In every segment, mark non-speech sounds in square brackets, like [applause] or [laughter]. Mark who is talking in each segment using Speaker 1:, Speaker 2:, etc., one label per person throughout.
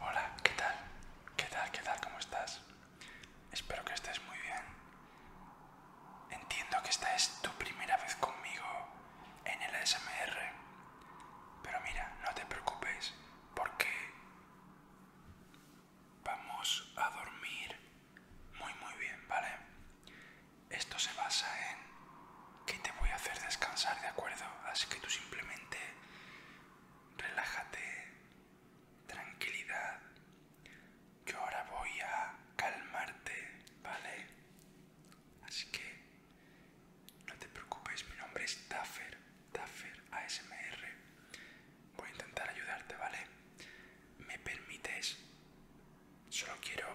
Speaker 1: Hola, ¿qué tal? ¿Qué tal? ¿Qué tal? ¿Cómo estás? Espero que estés muy bien. Entiendo que esta es tu primera vez conmigo en el ASMR, pero mira, no te preocupes porque vamos a dormir muy muy bien, ¿vale? Esto se basa en que te voy a hacer descansar, ¿de acuerdo? Así que tú simplemente relájate, tranquilidad. Yo ahora voy a calmarte, ¿vale? Así que no te preocupes, mi nombre es Taffer, Taffer ASMR voy a intentar ayudarte, ¿vale? ¿Me permites? Solo quiero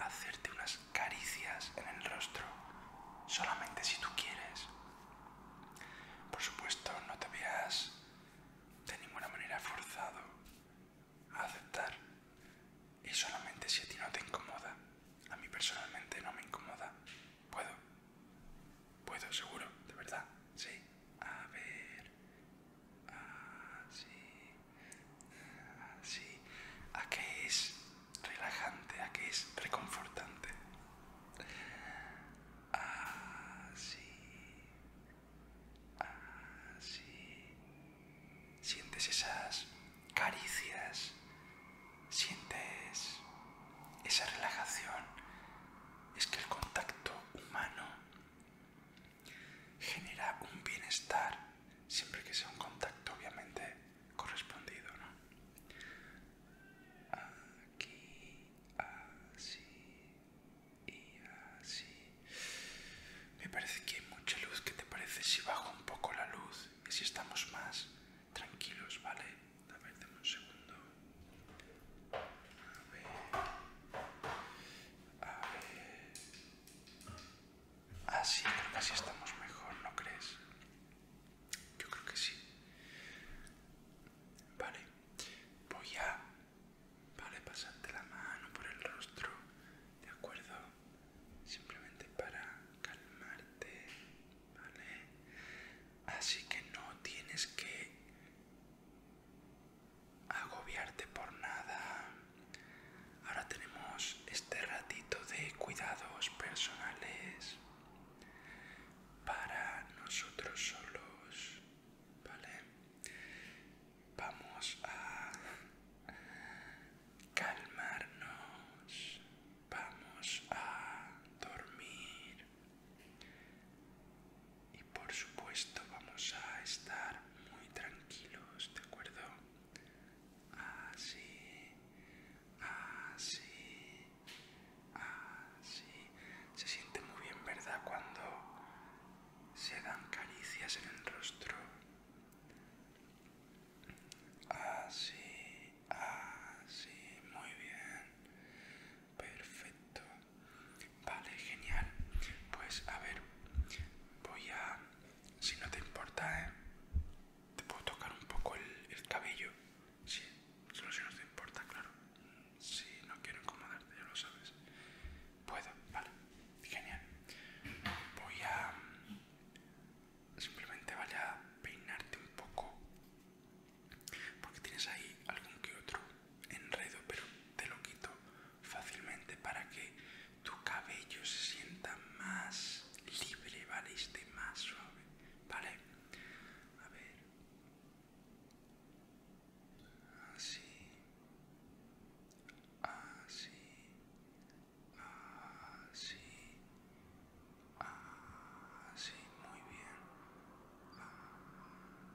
Speaker 1: hacerte unas caricias en el rostro, solamente si tú quieres. Por supuesto, no te veas de ninguna manera forzado a aceptar. Y solamente si a ti no te incomoda. A mí personalmente no me incomoda. ¿Puedo? ¿Puedo? ¿Seguro? ¿De verdad? Sí. A ver... Así... Así... ¿A qué es relajante? ¿A qué es reconfortante? Así... Así... Sientes esas caricias, sientes esa relajación, es que el contacto humano genera un bienestar siempre que sea un contacto obviamente correspondido, ¿no? Aquí, así y así. Me parece que hay mucha luz. ¿Qué te parece si bajo un poco la luz y si estamos más Tranquilos, ¿vale? A ver, dame un segundo. A ver. A ver. Así, ah, creo que así estamos mejor, ¿no crees? Yo creo que sí. Vale, voy a. Vale, pasarte la mano por el rostro, ¿de acuerdo? Simplemente para calmarte. ¿vale? Así que no tienes que agobiarte por nada. Ahora tenemos este ratito de cuidados personales para nosotros solos, ¿vale? Vamos a calmarnos, vamos a dormir. Y por supuesto vamos a estar muy tranquilos, ¿de acuerdo? Así, así, así. Se siente muy bien, ¿verdad? Cuando se dan caricias en el rostro. Así, Ah, sí, muy bien, perfecto, vale, genial, pues a ver, voy a, si no te importa, ¿eh? te puedo tocar un poco el, cabello, sí, solo si no te importa, claro, si no quiero incomodarte, ya lo sabes, puedo, vale, genial, voy a simplemente vaya a peinarte un poco porque tienes ahí algún que otro enredo pero te lo quito fácilmente para que tu cabello se sienta más libre vale y esté más suave vale a ver así así así Así, muy bien.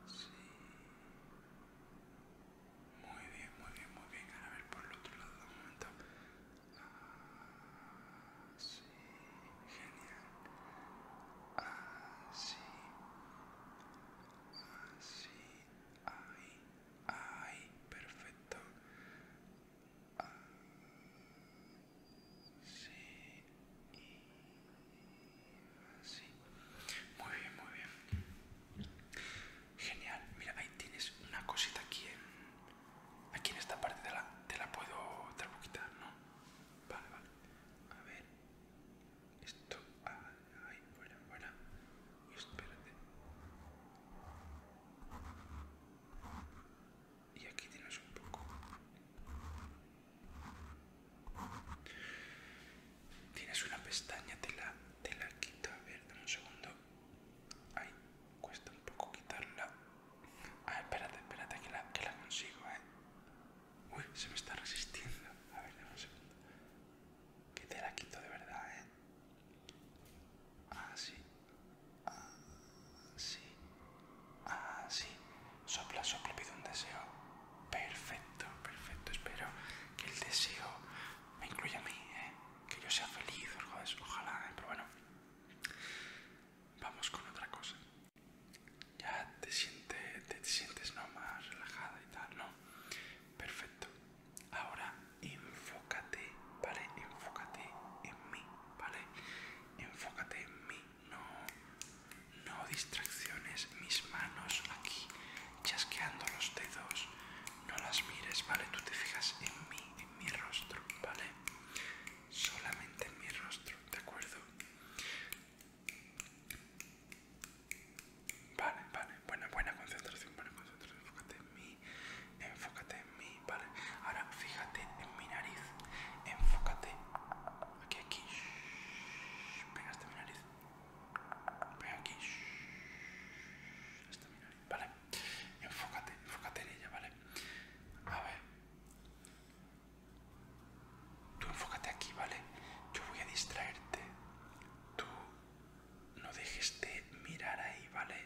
Speaker 1: Así. Muy bien, muy bien, muy bien. Ahora a ver por el otro lado un momento. Así. Genial. Así. Así. Ahí. Ahí. Perfecto sí y Muy bien, muy bien. Genial. Mira, ahí tienes una cosita aquí aquí en esta parte te la puedo, te ¿no? Vale, vale. A ver. Esto, ahí, fuera, fuera. Espérate y aquí tienes un poco tienes una pestaña te la, quito a ver dame un segundo ay cuesta un poco quitarla ah espérate espérate que la, que la consigo eh uy se me está resistiendo a ver dame un segundo que te la quito de verdad eh ah sí Así. Ah, Así. Ah, sopla, sopla, pido un deseo. Perfecto, perfecto. Espero que el deseo me incluya a mí, ¿eh? que yo sea feliz, ojalá, ¿eh? pero bueno. Vamos con otra cosa. Ya te sientes, te, sientes ¿no? más relajada y tal, ¿no? Perfecto. Ahora info enfócate, ¿vale? Enfócate en mí, ¿vale? Enfócate en mí, no, no distracciones, mis manos aquí, chasqueando los dedos, no las mires, ¿vale? Tú te fijas en mí, en mi rostro, ¿vale? Solamente en mi rostro, ¿de acuerdo? Vale, vale, buena, buena concentración, buena concentración, enfócate en mí, enfócate en mí, ¿vale? Ahora fíjate en mi nariz, enfócate aquí, aquí, venga mi nariz, venga aquí, Esta mi nariz, ¿vale? Enfócate, enfócate en ella, ¿vale? A ver, tú enfócate aquí, ¿vale? Yo voy a distraerte, tú no dejes de mirar ahí, ¿vale?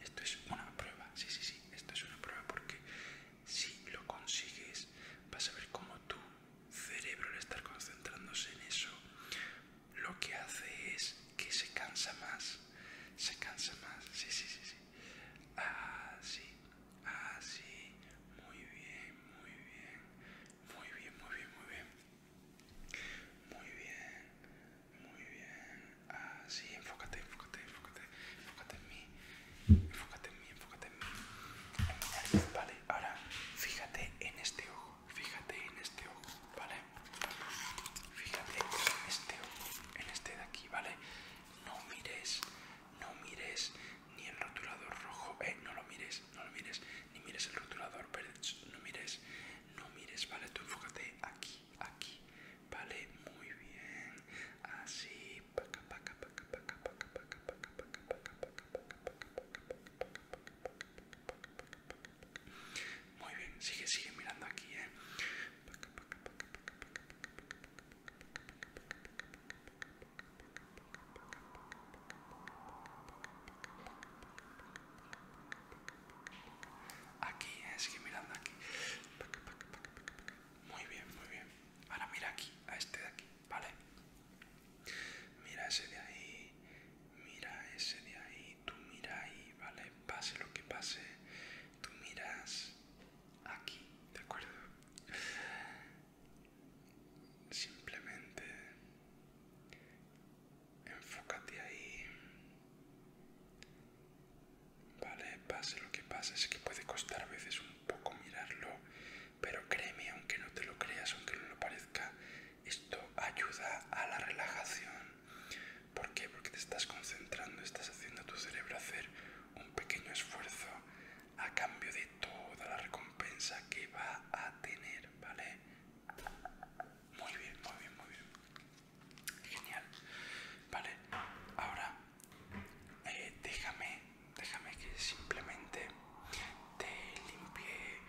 Speaker 1: Esto es una prueba, sí, sí, sí, esto es una prueba porque si lo consigues vas a ver cómo tu cerebro al estar concentrándose en eso lo que hace es que se cansa más, se cansa más, sí, sí, sí, sí. Así, ah, así, ah, muy bien, muy bien, muy bien, muy bien, muy bien. Muy bien, muy bien. Así, ah, enfócate, enfócate, enfócate. Enfócate en mí. Enfócate en mí, enfócate en mí. vale. Ahora, fíjate en este ojo. Fíjate en este ojo, ¿vale? Fíjate en este ojo, en este de aquí, ¿vale? No mires, no mires ni el rotulador rojo, eh, no lo mires, no lo mires, ni mires el rotulador verde, no mires, no mires, ¿vale? Tú enfócate aquí aquí vale muy bien así muy bien sigue sigue mirando aquí Aquí, es que mirando aquí. Muy bien, muy bien. Ahora mira aquí, a este de aquí, ¿vale? Mira ese de ahí, mira ese de ahí, tú mira ahí, ¿vale? Pase lo que pase, tú miras aquí, ¿de acuerdo? Simplemente enfócate ahí. Vale, pase lo que pase, Es que puede costar a veces un poco mirarlo, pero créeme, aunque no te lo creas, aunque no lo parezca, esto ayuda a la relajación. ¿Por qué? Porque te estás concentrando, estás haciendo a tu cerebro hacer un pequeño esfuerzo a cambio de toda la recompensa que va a tener, ¿vale? Muy bien, muy bien, muy bien. Genial. Vale, ahora eh, déjame, déjame que simplemente te limpie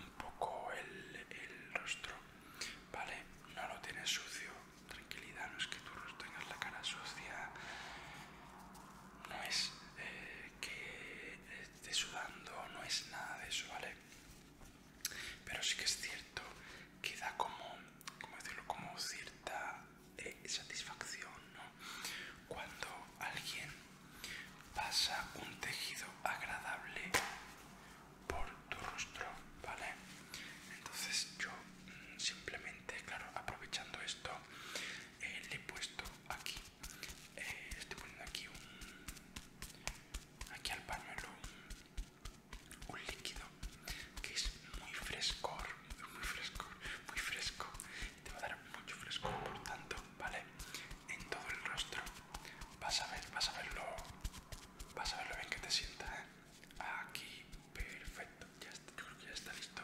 Speaker 1: un poco el, rostro. Vale, no lo tienes sucio, tranquilidad, no es que tú tengas la cara sucia, no es eh, que esté sudando, no es nada de eso, ¿vale? pero sí que es cierto que da como, decirlo, como cierta eh, satisfacción, Cuando alguien pasa un tejido agradable por tu rostro, ¿vale? Entonces yo mm, simplemente, claro, aprovechando esto, eh, le he puesto aquí, eh, estoy poniendo aquí un, aquí al pañuelo un, líquido que es muy fresco muy fresco, muy fresco, te va a dar mucho fresco por tanto, ¿vale? En todo el rostro, vas a ver, vas a verlo, vas a verlo bien que te sienta, ¿eh? Aquí, perfecto, ya está, creo que ya está listo.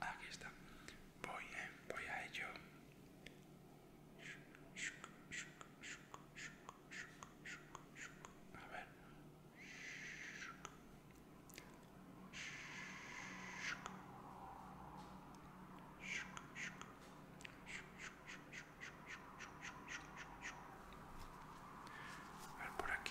Speaker 1: Aquí está, voy, ¿eh? voy a ello. A ver. A ver por aquí.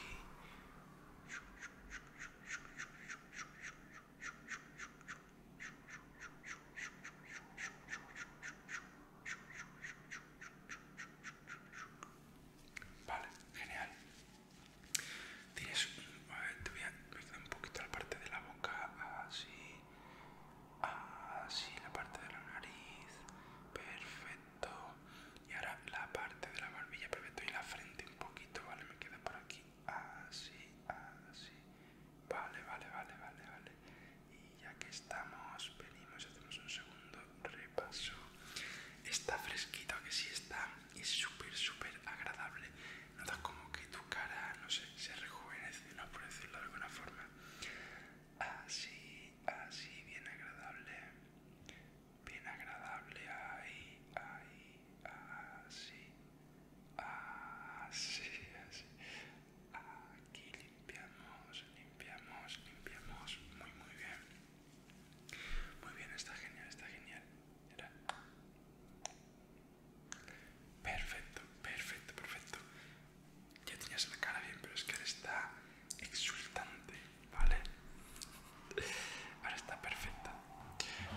Speaker 1: Vale, genial. Tienes un... te voy un poquito la parte de la boca, así, así, la parte de la nariz, perfecto. Y ahora la parte de la barbilla, perfecto, y la frente un poquito, vale, me queda por aquí así, así. Vale, vale, vale, vale, vale. Y ya que estamos, venimos, hacemos un segundo repaso. Está fresquito, que sí está, y es súper, súper agradable. Notas como que tu cara, no sé, se rejuvenece, ¿no? Por decirlo de alguna forma. Así, así, bien agradable. Bien agradable, ahí, ahí, así. Así, así. Aquí limpiamos, limpiamos, limpiamos. Muy, muy bien. Muy bien, está genial, está genial. Perfecto, perfecto, perfecto. Ya tenías la cara bien, pero es que ahora está exultante, ¿vale? Ahora está perfecta.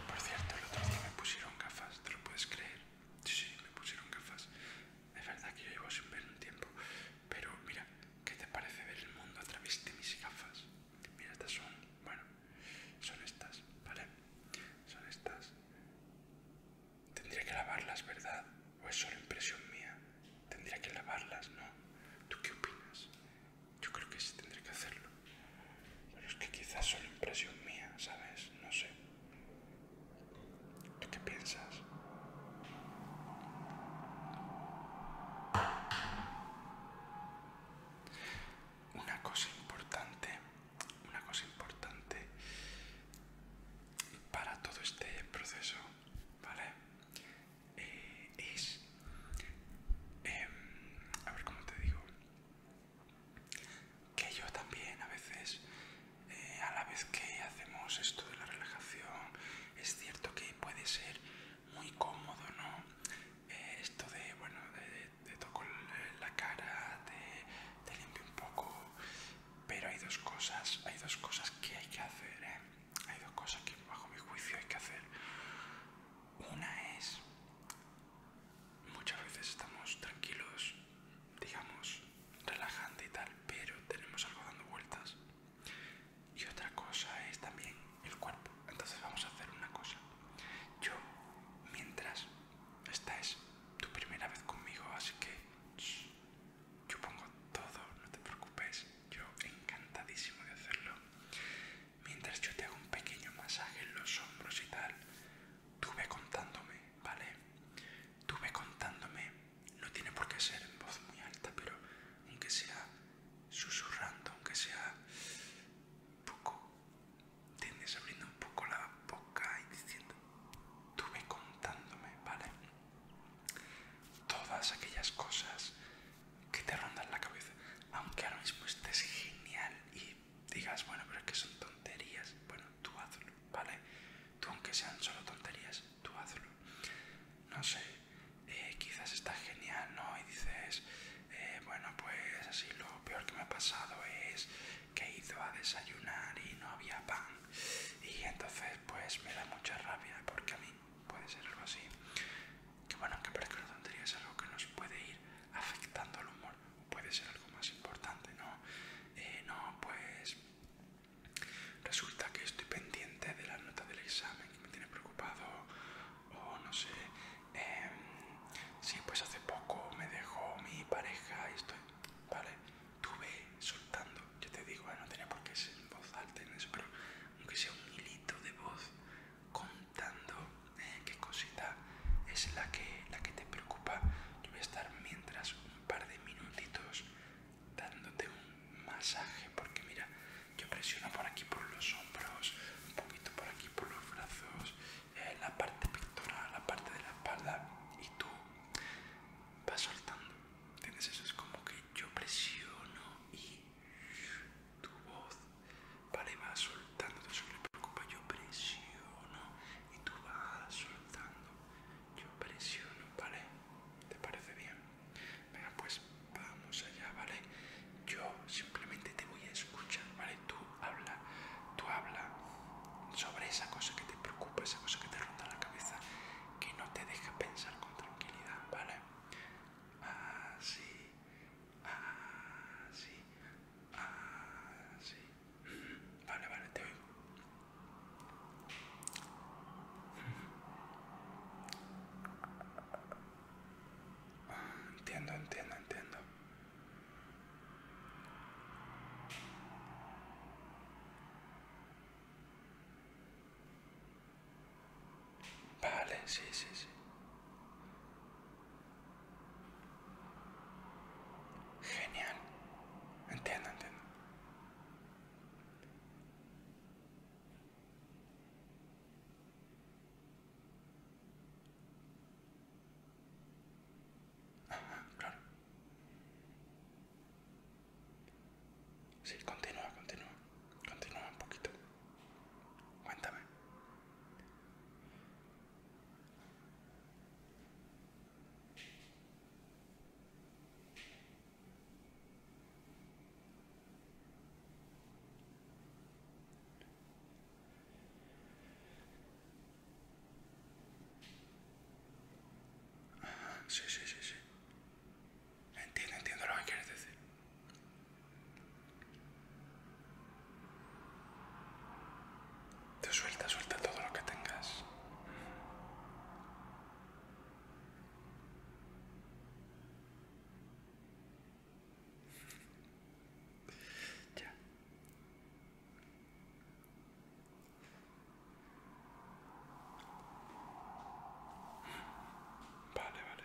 Speaker 1: Por cierto, el otro día me pusieron gafas, ¿te lo puedes creer? Sí, sí, me pusieron gafas. Es verdad que yo llevo sin ver un tiempo. Pero mira, ¿qué te parece ver el mundo a través de mis gafas? Mira, estas son, bueno, son estas, ¿vale? Son estas. Tendría que lavarlas, ¿verdad? ¿O es solo impresión mía? Tendría que lavarlas, ¿no? ¿Tú qué opinas? Yo creo que sí tendría que hacerlo. Pero es que quizás son impresión mía, ¿sabes? No sé. ¿Tú qué piensas? Una cosa importante, una cosa importante para todo este proceso, ¿vale? Eh, es... Em, a ver cómo te digo que yo también a veces, eh, a la vez que hacemos esto de la relajación, es cierto que puede ser muy cómodo, ¿no? Eh, esto de, bueno, de, toco la cara, de, de limpio un poco, pero hay dos cosas, hay dos cosas que hay que hacer, ¿eh? Hay dos cosas que bajo mi juicio hay que hacer. Una es muchas veces estamos tranquilos, digamos, relajando y tal, pero tenemos algo dando vueltas. Y otra cosa es también el cuerpo. Entonces vamos a hacer una cosa. Yo, mientras, esta es tu primera vez conmigo, así que yo pongo todo, no te preocupes. Yo encantadísimo de hacerlo mientras yo te hago un pequeño masaje en los hombros y tal, tuve contándome, ¿vale? tuve contándome, no tiene por qué ser en voz muy alta, pero aunque sea susurrando, aunque sea poco, tienes abriendo un poco la boca y diciendo, tuve contándome, ¿vale? Todas aquellas cosas que te rondan la cabeza, aunque ahora mismo estés genial y digas, bueno, pero es que son tonterías, bueno, tú hazlo, ¿vale? Tú aunque sean solo tonterías, tú hazlo. No sé, eh, quizás está genial, ¿no? Y dices, eh, bueno, pues así lo peor que me ha pasado es que he ido a desayunar y no había pan. Y entonces pues me da mucha rabia porque a mí puede ser algo así que bueno, aunque parezca la tontería, es algo que nos puede ir afectando al humor, puede ser algo más importante, ¿no? Eh, no, pues resulta que estoy pendiente de la nota del examen que me tiene preocupado, o no sé, si em, sí, pues hace poco me dejó mi pareja y estoy, ¿vale? Tuve soltando, yo te digo, no tenía por qué ser voz alta en eso, pero aunque sea un hilito de voz contando eh, qué cosita es la que, la que te preocupa. Yo voy a estar mientras un par de minutitos dándote un masaje, porque mira, yo presiono por aquí por los hombros, un poquito por aquí por los brazos, eh, la parte pectoral, la parte de la espalda, y tú vas soltando. tienes Eso es como que yo presiono y tu voz, vale, soltando, preocupa, yo presiono y tú vas soltando, yo presiono, vale, ¿te parece bien? Venga, pues vamos allá, vale, yo simplemente te voy a escuchar, vale, tú habla, tú habla sobre esa cosa que te preocupa, esa cosa que te ronda la cabeza, que no te deja pensar con tranquilidad, vale. Así, Ah, ah sí, Vale, vale, te oigo. Ah, entiendo, entiendo, entiendo. Vale, sí, sí, sí. Genial. Entiendo, entiendo. Ajá, claro. Sí, continúa, continúa. Continúa un poquito. Cuéntame. sí, sí, sí, sí. Entiendo, entiendo lo que quieres decir. Te suelta, suelta todo lo que tengas. ya. Vale, vale.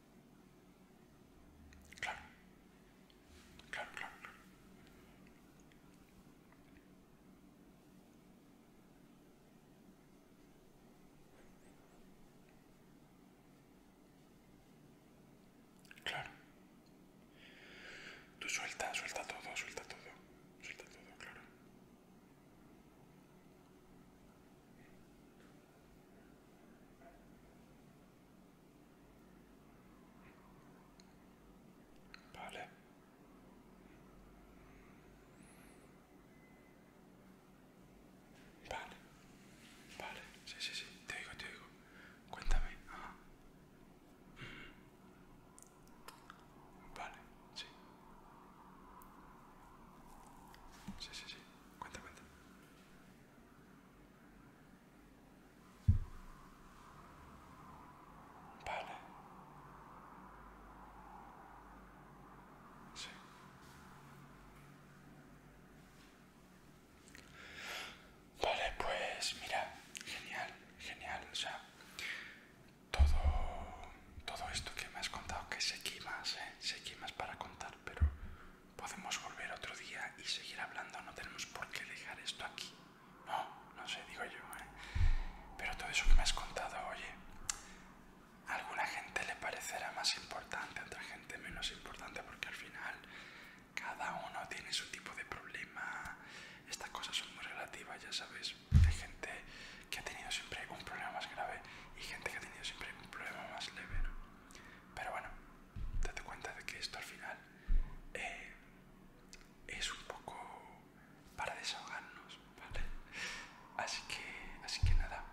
Speaker 1: Claro, claro, claro, claro. Claro. Tú suelta, suelta todo, suelta todo. Suelta todo, claro. Vale. Vale. Vale. Sí, sí, sí. Te digo, te digo. Cuéntame. Vale, sí. Sí, sí, sí. Cuenta, cuenta. Vale. Sí. Vale, pues mira, genial, genial, o sea, todo todo esto que me has contado, que sé que más, eh, sé más para contar, pero podemos volver otro día y seguir hablando, no tenemos por qué dejar esto aquí. No, no sé, digo yo, eh. Pero todo eso que me has contado, oye, a alguna gente le parecerá más importante, a otra gente menos importante, porque al final cada uno tiene su tipo de problema. Estas cosas son muy relativas, ya sabes, hay gente que ha tenido siempre un problema más grave y gente que ha tenido siempre un problema más leve. Pero bueno, date cuenta de que esto al final eh, es un poco para desahogarnos, ¿vale? Así que, así que nada,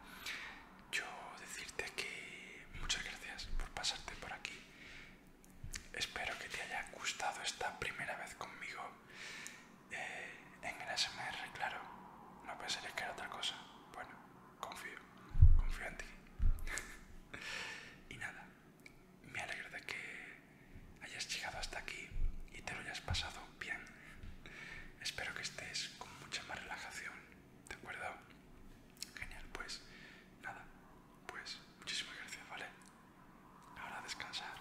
Speaker 1: yo decirte que muchas gracias por pasarte por aquí. Espero que te haya gustado esta primera vez conmigo en el SMR claro, no ser que era otra cosa. Bueno, confío, confío en ti. [laughs] y nada, me alegro de que hayas llegado hasta aquí y te lo hayas pasado bien. Espero que estés con mucha más relajación, ¿de acuerdo? Genial, pues nada, pues muchísimas gracias, ¿vale? Ahora descansar.